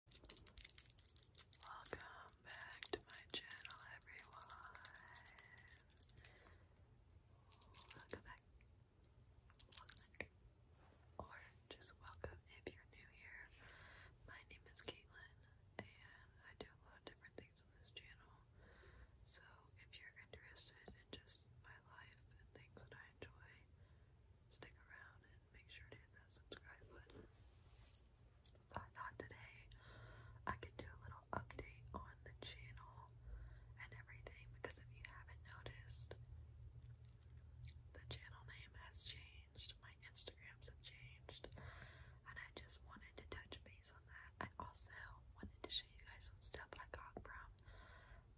Welcome back to my channel, everyone. Welcome back. Welcome Or just welcome if you're new here. My name is Caitlin, and I do a lot of different things on this channel. So if you're interested in just my life and things that I enjoy, stick around make sure to hit that subscribe button. I thought today I could do a little update on the channel and everything because if you haven't noticed, the channel name has changed, my Instagrams have changed, and I just wanted to touch base on that. I also wanted to show you guys some stuff I got from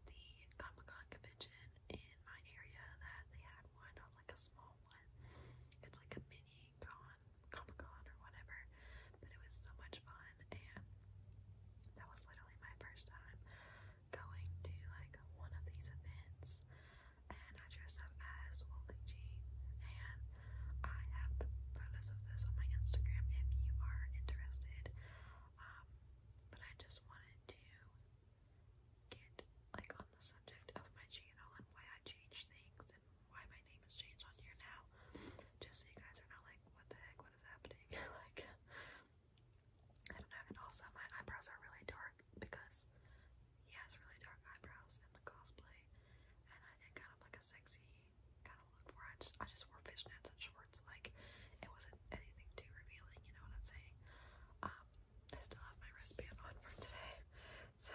the Comic Con convention in my area that they had one. It was like a small one. It's like a mini con, Comic Con or whatever. But it was so much fun, and that was literally my first time going to like one of these events. And I dressed up as Wally G. And I have photos of this on my Instagram if you are interested. Um, but I just wanted to get like on the subject of my channel and why I changed things and why my name has changed on here now. Just so you guys are not like, what the heck, what is happening? like I don't know. And also my eyebrows are really dark because he has really dark eyebrows in the cosplay and I did kind of like a sexy kind of look for I just I just wore fishnets and shorts, like it wasn't anything too revealing, you know what I'm saying? Um I still have my wristband on for today. So,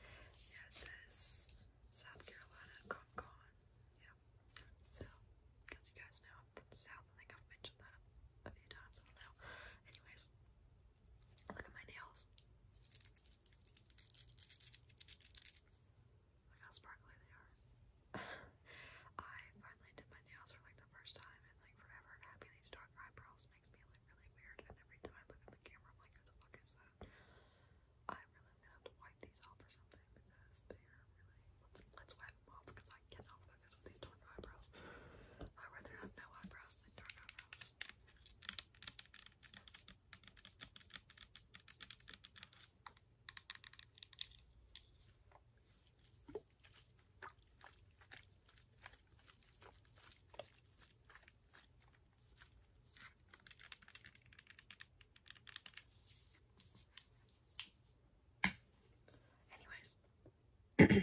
yeah, it says South Carolina Comic Yeah. So, because you guys know I'm from the South, I think I've mentioned that a few times. I Anyways, look at my nails. Look how sparkly they are. I finally did my nails for like the first time forever having these dark eyebrows makes me look really weird and every time I look at the camera I'm like who the fuck is that? I really gonna have to wipe these off or something because really let's let's wipe them off because I cannot focus with these dark eyebrows. i rather have no eyebrows than dark eyebrows. Anyways,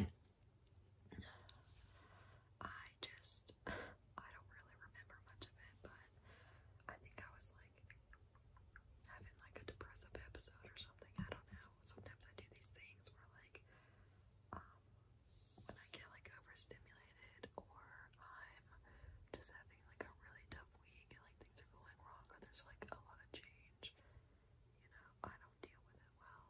I just I don't really remember much of it, but I think I was like having like a depressive episode or something. I don't know sometimes I do these things where like um, when I get like overstimulated or I'm just having like a really tough week and like things are going wrong or there's like a lot of change, you know, I don't deal with it well.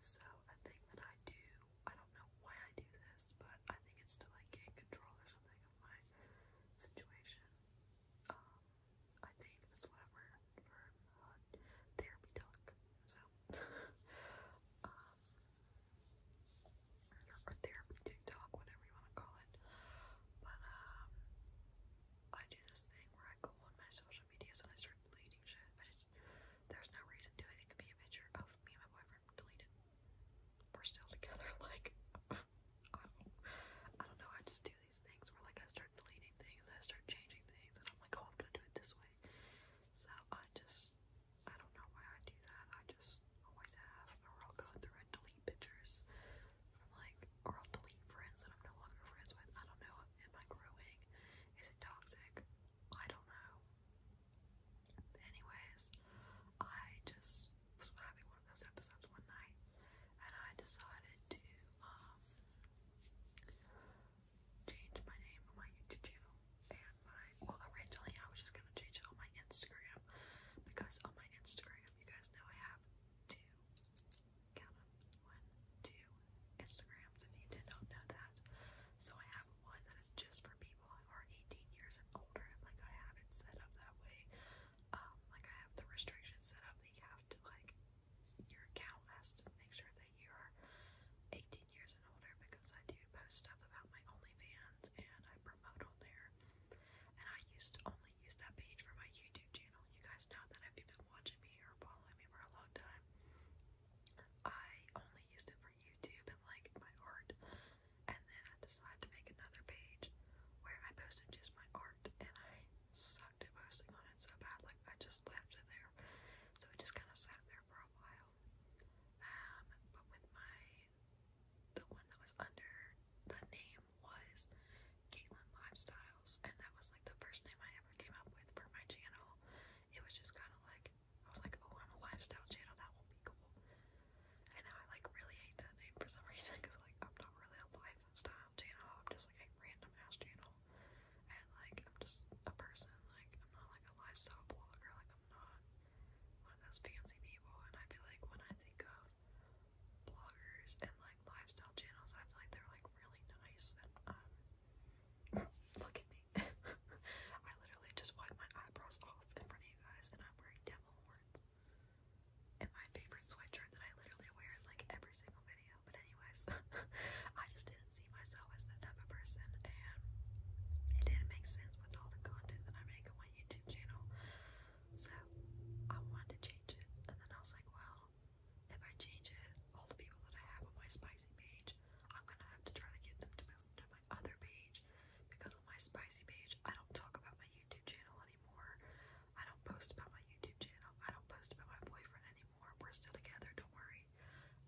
So a thing that I do, I don't know why I do this, but I think it's to like gain control or something of my situation. Um, I think that's what for uh, therapy talk. So, um, or therapy TikTok, whatever you want to call it. But um, I do this thing where I go on my social medias and I start deleting shit. I just there's no reason to. It. it be a picture of me and my boyfriend deleted. We're still together. Like I don't, I don't know. I just do these things where like I start deleting things, I start changing things, and I'm like, oh, I'm gonna do it this way. So I just, I don't know why I do that. I just always have, or I'll go through and delete pictures from like, or I'll delete friends that I'm no longer friends with. I don't know. Am I growing? Is it toxic? I don't know. anyways, I just was having one those episodes one night, and I decided to um, change my name on my YouTube channel. And originally I was just gonna change it on my Instagram because on my Instagram, you guys know I have two Instagrams. If you did not know that, so I have one that is just for people who are 18 years and older, like I have it set up that way um, like I have the restrictions set up that you have to like your account has to make sure that you are 18 years and older because I do post stuff about my OnlyFans and I promote on there. And I used to only use that page for my YouTube channel. You guys know that i have been watching me or following me for a long time. I only used it for YouTube and like my art. And then I decided to make another page where I posted just my art and I sucked at posting on it so bad, like I just left it there. So it just kind of sat there for a while. Um, but with my, the one that was under the name was Caitlin Lifestyles, and that was like the first name I ever came up with for my channel. It was just kind of like, I was like, oh, I'm a lifestyle channel, that won't be cool. And I like really hate that name for some reason because like I'm not really a life style channel. I'm just like a random ass channel. And like I'm just a person. Like I'm not like a lifestyle blogger. Like I'm not one of those fancy people. And I feel like when I think of bloggers and like lifestyle channels, I feel like they're like really nice and um, look at me. I literally just wiped my eyebrows off in front of you guys and I'm wearing devil horns and my favorite sweatshirt that I literally wear like every single video. But anyways, I just didn't see myself as that type of person, and it didn't make sense with all the content that I make on my YouTube channel. So I wanted to change it, and then I was like, well, if I change it, all the people that I have on my spicy page, I'm gonna have to try to get them to my other page because on my spicy page, I don't talk about my YouTube channel anymore. I don't post about my YouTube channel. I don't post about my boyfriend anymore. We're still together, don't worry.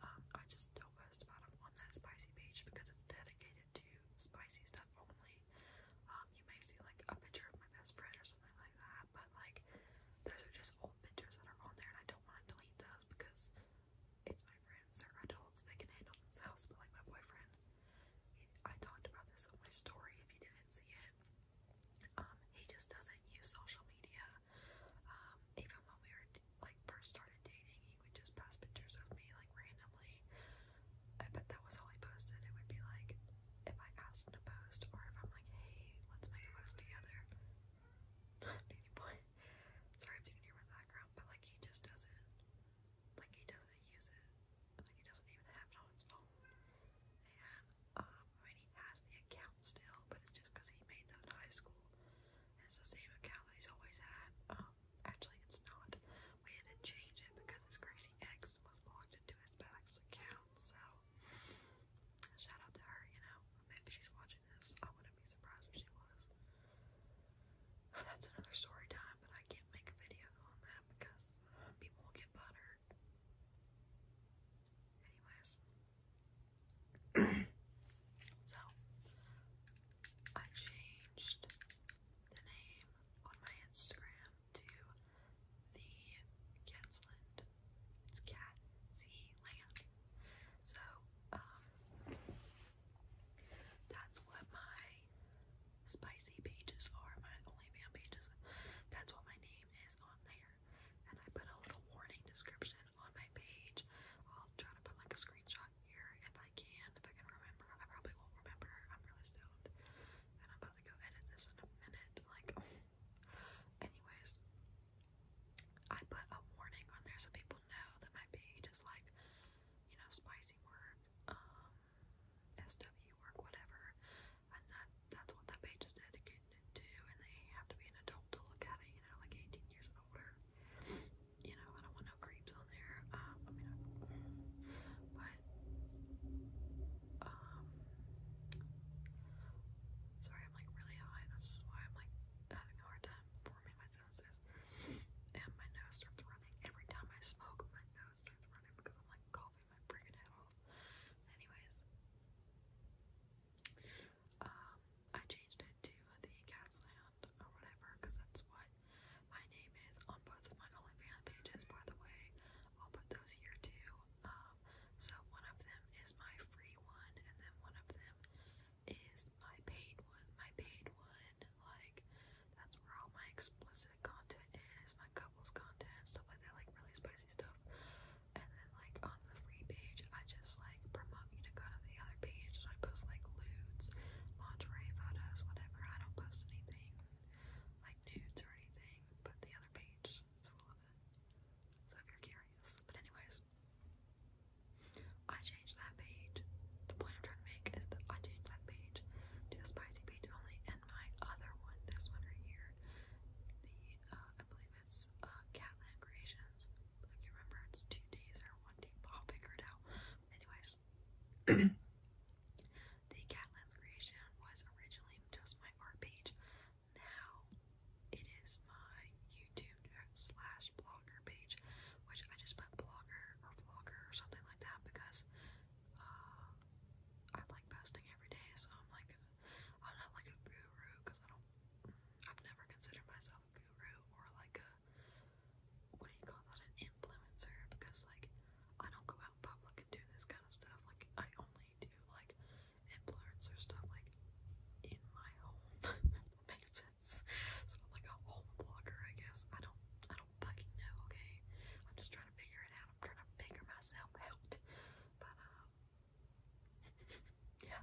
Um, I just don't post about him on that spicy page because it's dedicated to spicy stuff only. Um, you may see like a picture of my best friend or something like that, but like those are just old pictures that are on there, and I don't want to delete those because it's my friends. They're adults. They can handle themselves. But like my boyfriend, I talked about this on my story if you didn't see it. Um, he just doesn't use social media. Um, even when we were like first started dating, he would just post pictures of me like randomly. I bet that was all he posted. It would be like if I asked him to post, or if I'm like, hey, let's make a post together. Baby boy. Sorry if you can hear my background, but like he just doesn't. Like he doesn't use it like he doesn't even have it on his phone. And um, I mean, he has the account still, but it's just because he made that in high school. And it's the same account that he's always had. Um, actually, it's not. We had to change it because his crazy ex was logged into his back's account. So shout out to her, you know. Maybe she's watching this. I wouldn't be surprised if she was. That's another story time, but I can't make a video on that that because uh, people will get buttered. Anyways. so, I changed the name on my Instagram to the Catsland. It's Cat Sea Land. So, um, that's what my spicy pages are, my only OnlyFans pages. That's what my name is on there. And I put a little warning description on my page. I'll try to put like a screenshot here if I can, if I can remember. I probably won't remember. I'm really stoned. And I'm about to go edit this in a minute. Like, anyways, I put a warning on there so people know that my page is like, you know, spicy work. Um, SW work, whatever, and that that's what that page is dedicated to, and they have to be an adult to look at it, you know, like 18 years and older. You know, I don't want no creeps on there. Um, I mean, but um, sorry, I'm like really high. That's why I'm like having a hard time forming my sentences, and my nose starts running every time I smoke. My nose um, i changed it to the Catsland or whatever because that's what my name is on both of my OnlyFans pages. By the way, I'll put those here too. Um, so one of them is my free one, and then one of them is my paid one. My paid one like, that's where all my explicit content is, my couples content, stuff like that, like really spicy stuff. And then, like, on the free page, I just like promote you to go to the other page and I post like lewds, lingerie photos, whatever. I don't post anything like nudes or anything, but the other page is full of it. So if you're curious, but anyways, I changed that page. The point I'm trying to make is that I page to a spicy page only, and my other one, this one right here, the uh, I believe it's uh, Catland Creations. I can't remember. It's two days or one day. I'll figure it out. Anyways, the Catland Creation was originally just my art page. Now it is my YouTube slash blogger page, which I just put blogger or vlogger or something like that because uh, I like posting every day, so I'm like, I'm not like a guru because I don't, I've never considered myself a guru or like a, what do you call that, an influencer because like I don't go out in public and do this kind of stuff. Like I only do like influencer stuff like in my home. makes sense. So I'm like a home vlogger, I guess. I don't, I don't fucking know. Okay, I'm just trying to figure it out. I'm trying to figure myself out. But uh, yeah,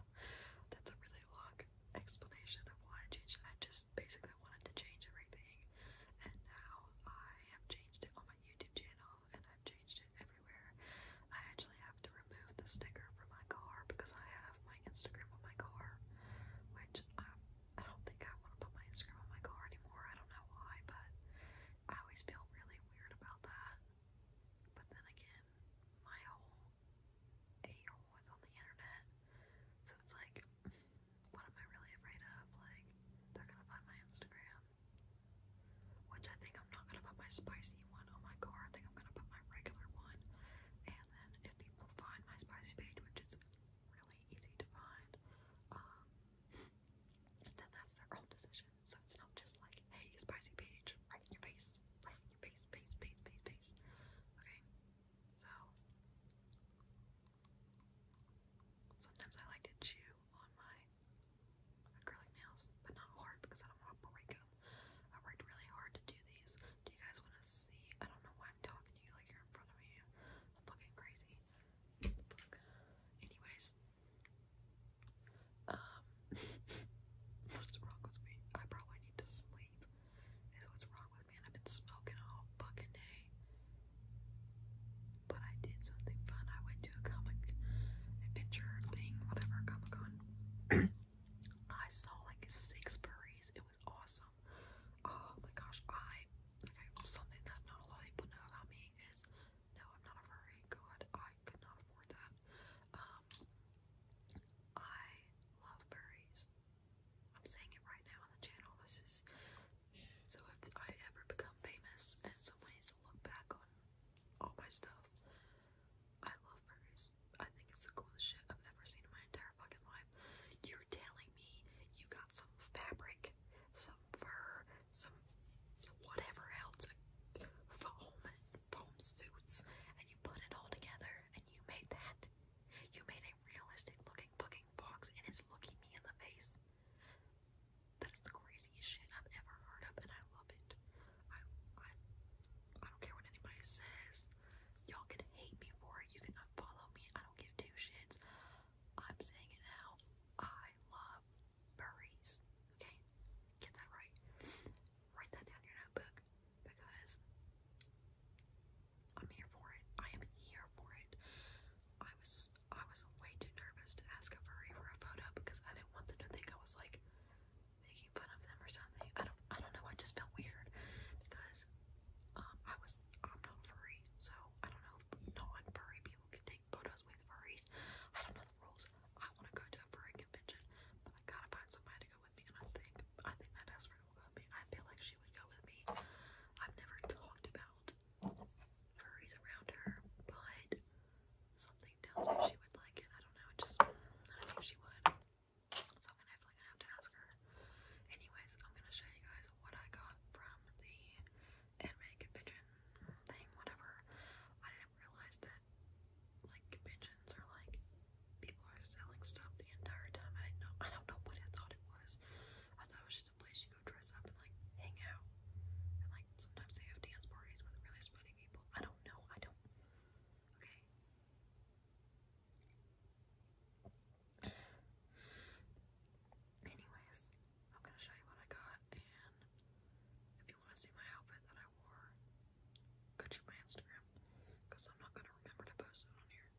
that's a really long explanation of why I changed. I just basically wanted to change everything, and now I have changed it on my YouTube channel, and I've changed it everywhere. I actually have to remove the sticker from my car because I have my Instagram on my car, which I'm I don't think I want to put my Instagram on my car anymore. I don't know why, but I always feel really weird about that. But then again, my whole eight year old's on the internet. So it's like, what am I really afraid of? Like, they're gonna find my Instagram. Which I think I'm not gonna put my spicy one on my car. I think I'm gonna put my regular one. And then if people find my spicy page, which is really easy to find, um, then that's their own decision. So it's not just like, hey, spicy page, right in your face, right in your face, face, face, face, face. Okay, so sometimes I like to chew on my acrylic nails, but not hard because I don't want to break them. I worked really hard to do these, do you guys want to see? I don't know why I'm talking to you like you're in front of me. I'm fucking crazy. Anyways, um, what's wrong with me? I probably need to sleep. Is what's wrong with me? I've been smoking all fucking day. But I did something fun. I went to a comic adventure thing, whatever, Comic Con. I saw like six furries awesome. Oh my gosh, I okay, something that not a lot of people know about me is no, I'm not a furry. God, I could afford that. Um I love furries. I'm saying it right now on the channel. This is so if I ever become famous and someone needs to look back on all my stuff, I love furries. I think it's the coolest shit I've ever seen in my entire fucking life. You're telling me you got some fabric, some fur, some whatever else, like foam, foam suits, and you put it all together and you made that. You made a realistic looking fucking box and it's looking me in the face. That is the craziest shit I've ever heard of and I love it. I I don't care what anybody says. Y'all can hate me for it. You can unfollow me. I don't give two shits. I'm saying it now. I love furries. Okay? Get that right. Write that down in your notebook because I'm here for it. I am here for it. I was I was way too nervous to ask a furry for a photo because I didn't want them to think I was like making fun of them or something. I don't I don't know, I just felt weird because um I was I'm not furry, so I don't know if non-furry people can take photos with furries. I don't know the rules. I wanna go to a furry convention, but I gotta find somebody to go with me and I think I think my best friend will go with me. I feel like she would go with me. I've never talked about furries around her, but something tells me she would like it. I don't know, just I think she would. So I'm gonna have to ask her. Anyways, I'm gonna show you guys what I got from the anime convention thing, whatever. I didn't realize that like conventions are like people are selling stuff the entire time. I didn't know I don't know what I thought it was. I thought it was just a place you go dress up and like hang out. And like sometimes they have dance parties with really funny people. I don't know. I don't okay. Anyways, I'm gonna show you what I got, and if you want to see my outfit that I wore, go check my Instagram, because I'm not gonna remember to post it on here.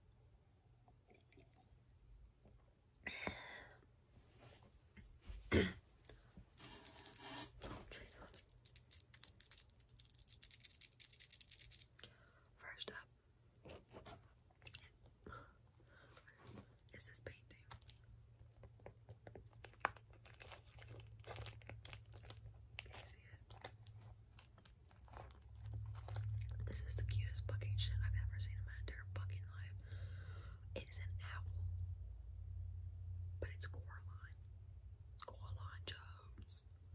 oh, First up is this painting. This is the cutest fucking shit I've ever seen in my entire fucking life. It is an owl. But it's Coraline. Coraline Jones. Um,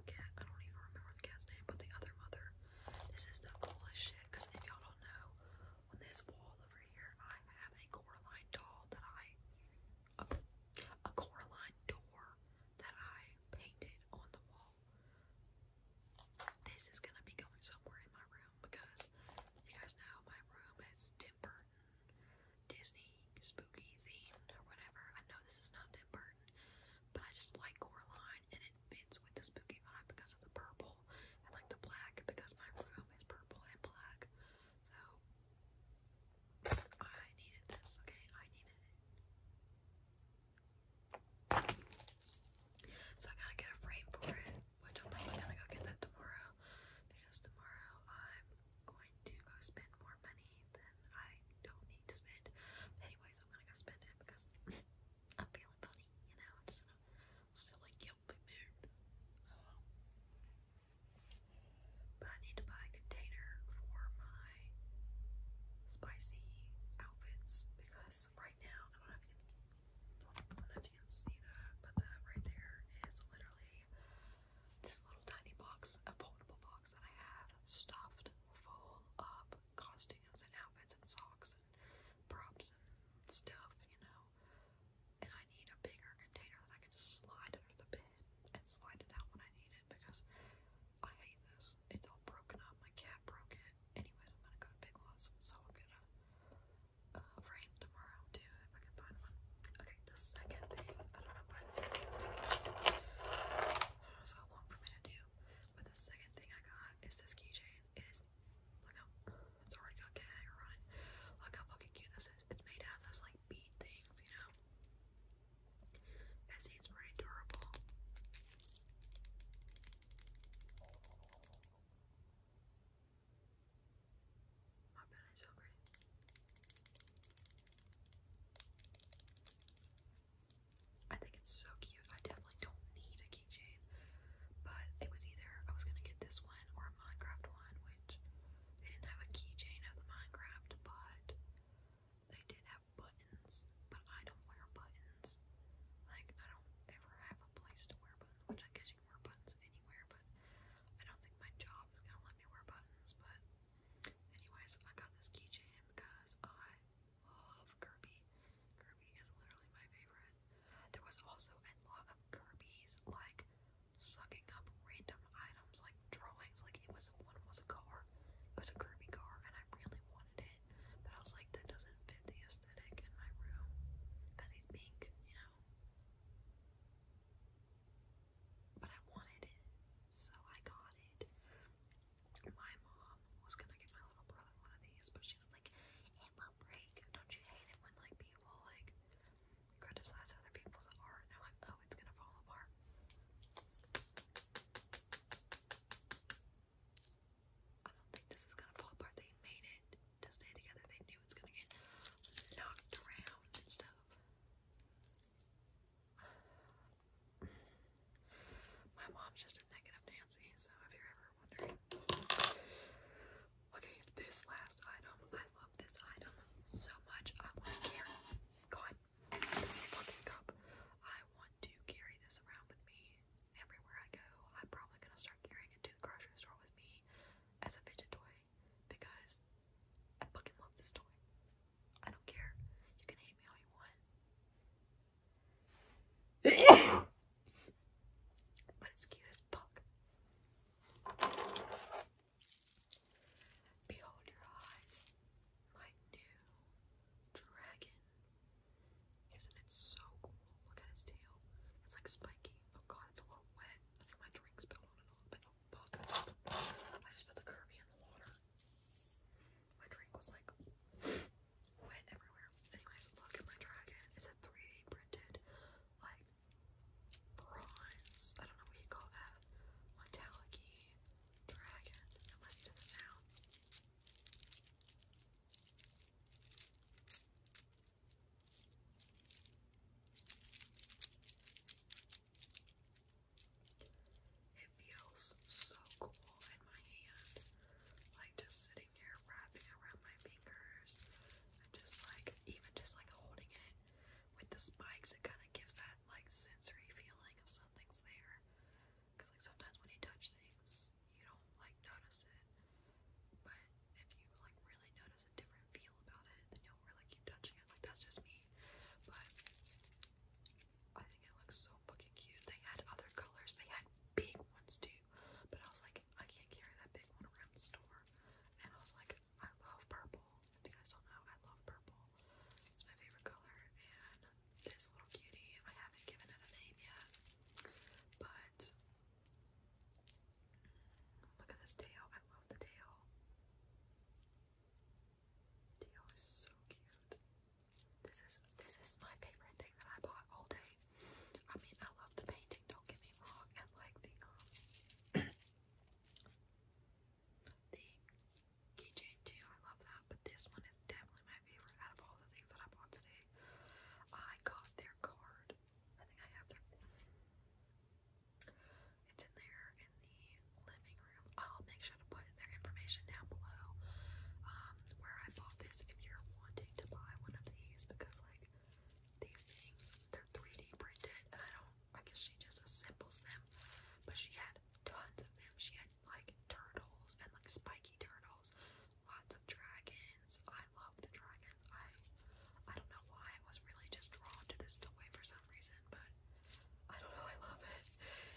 I don't even remember the cat's name, but the other mother. This is the coolest shit, because if y'all don't know, on this wall over here, I have a Coraline doll that I, a, a Coraline door that I painted on the wall. This is gonna be going somewhere in my room because you guys know my room is timber Disney spooky themed or whatever. I know this is not Tim Burton, but I just like Coraline and it fits with the spooky vibe because of the purple and like the black because my room is purple and black. So I needed this, okay? I needed it. So I gotta get a frame for it which I'm gonna go get that tomorrow because tomorrow I'm going to go spend more money than I don't need to spend. anyways, I'm gonna go spend it because I'm feeling funny, you know. I'm just still like guilty mood. But I need to buy a container for my spicy outfits because right now I don't if you can see that, but that right there is literally this little tiny box, a foldable box that I have stuffed full of costumes and outfits and socks and props and stuff, you know. And I need a bigger container that I can just slide under the bed and slide it out when I need it because I hate this. It's all broken up. My cat broke it. Anyways, I'm gonna go to Big Lots, so I'm gonna uh, tomorrow too if I can find one. Okay, the second thing, I don't know why the second thing long for me to do, but the second thing I got is this keychain. It is look how it's already got gag Look how fucking cute this is. It's made out of those like bead things, you know. It seems pretty durable. My belly's hungry. I think it's so cute. I definitely don't need a keychain, but it was either I was gonna get this one or a Minecraft one, which they didn't have a keychain of the Minecraft, but they did have buttons. But I don't wear buttons. Like I don't ever have a place to wear buttons, which I guess she can wear buttons anywhere, but I don't think my job is gonna let me wear buttons. But, anyways, I got this keychain because I love Kirby. Kirby is literally my favorite. There was also a lot of Kirby's like sucking up random items, like drawings. Like it was one was a car, it was a Kirby car, and I really wanted it, but I was like, that doesn't fit the aesthetic in my room because he's pink, you know now. But I wanted it, so I got it. My mom was gonna get my little brother one of these, but she like, it will break. Don't you hate it when like people like criticize other people's art and like, oh, it's gonna fall apart. I don't think this is gonna fall apart. They made it to stay together. They knew it's gonna get knocked around and stuff. My mom's just a negative Nancy, so if you're ever wondering. Okay, this last item. I love this item so much. I want to carry God this fucking cup. I want to carry this around with me everywhere I go. I'm probably gonna start carrying it to the grocery store with me as a fidget toy because I fucking love this toy. I don't care. You can hate me all you want. but it's cute as fuck. Behold your eyes, my new dragon. Isn't it so cool? Look at his tail. It's like spiky. Oh god, it's a little wet. my drink spilled on oh, it I just put the Kirby in the water. My drink was like wet everywhere. Anyways, look at my dragon. It's a 3D printed, like bronze. I don't know what you call that. Metallic dragon. listen to the sounds. It feels so cool in my hand, like just sitting here wrapping around my fingers and just like even just like holding it with the spikes, it kind of gives that like sensory feeling of something's there. Cause like sometimes when you touch things, you don't like notice it. But if you like really notice a different feel about it, then you'll really keep touching it. Like that's just me. But I think it looks so fucking cute. They had other colors. They had big ones too. But I was like, I can't carry that big one around the store. And I was like, I love purple. If you guys don't know, I love purple. It's my favorite color. And this little cutie, I haven't given it a name yet. But Look at this tail. I love the tail. Tail is so cute. This is this is my favorite thing that I bought all day. I mean, I love the painting. Don't get me wrong, and like um, the keychain too. I love that. But this one is definitely my favorite out of all the things that I bought today. I got their card. I think I have their. It's in there in the living room. I'll make sure to put their information down below um, where I bought this if you're wanting to buy one of these because, like, these things, they're 3D printed and I don't, I guess she just assembles them. But she had tons of them. She had, like, turtles and, like, spiky turtles lots of dragons. I love the dragons. I I don't know why I was really just drawn to this toy for some reason, but I don't know. I love it.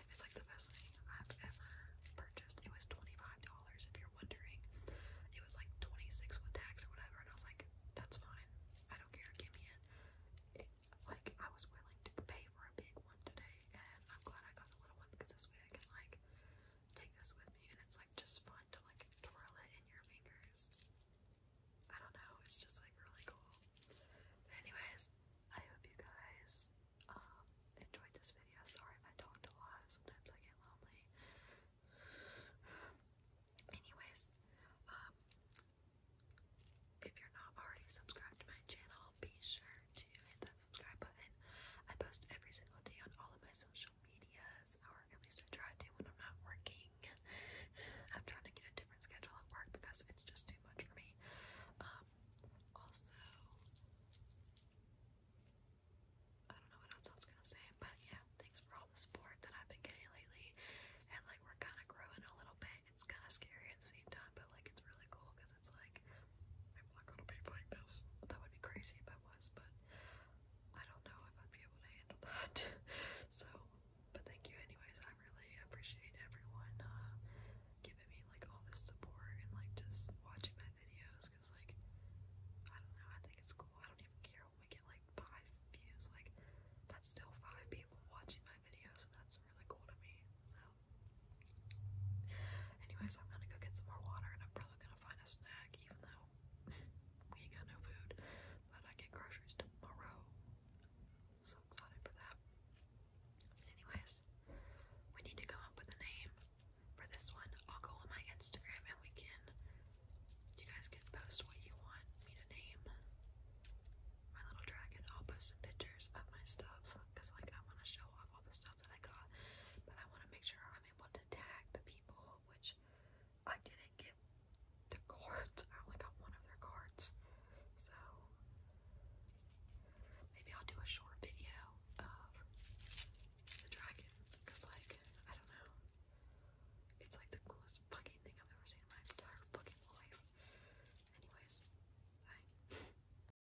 It's like the best thing I've ever purchased. It was twenty five dollars if you're wondering. It was like twenty six with tax or whatever, and I was like, that's fine. I don't care. Give me it. like I was willing to pay for a big one today, and I'm glad I got the little one because this way I can like take this with me, and it's like just fun to like twirl it in your fingers. I don't know, it's just like really cool. Anyways, I hope you guys um, enjoyed this video. Sorry if I talked a lot, sometimes I get lonely. Anyways, um, if you're not already subscribed to my channel, be sure to hit that subscribe button. I post every single day on all of my social medias, or at least I try to when I'm not working. I'm trying to get a different schedule at work because it's just too much for me. Um, also, I don't know what else I was gonna say, but yeah, thanks for all the support that I've been getting lately. And like, we're kind of growing a little bit. It's kind of scary at the same time, but like, it's really cool it's like I'm not gonna be playing That would be crazy if I was, but I don't know if I'd be able to handle that. so, but thank you anyways. I really appreciate everyone uh, giving me like all this support and like just watching my videos because like I don't know. I think it's cool. I don't even care when we get like five views. Like that's still five people watching my videos, that's really cool to me. So Anyways, I'm gonna go get some more water and I'm probably gonna find a snack even though we ain't got no food. But I get groceries tomorrow. So excited for that. Anyways, we need to come up with a name for this one. I'll go on my Instagram and we can you guys can post what you want me to name my little dragon. I'll post some pictures of my stuff because like I want to show off all the stuff I got, but I want to make sure I'm able to tag the people, which I didn't get the cards. I only got one of their cards, so maybe I'll do a short video of the dragon, because like I don't know, it's like the coolest fucking thing I've ever seen in my entire fucking life. Anyways, bye.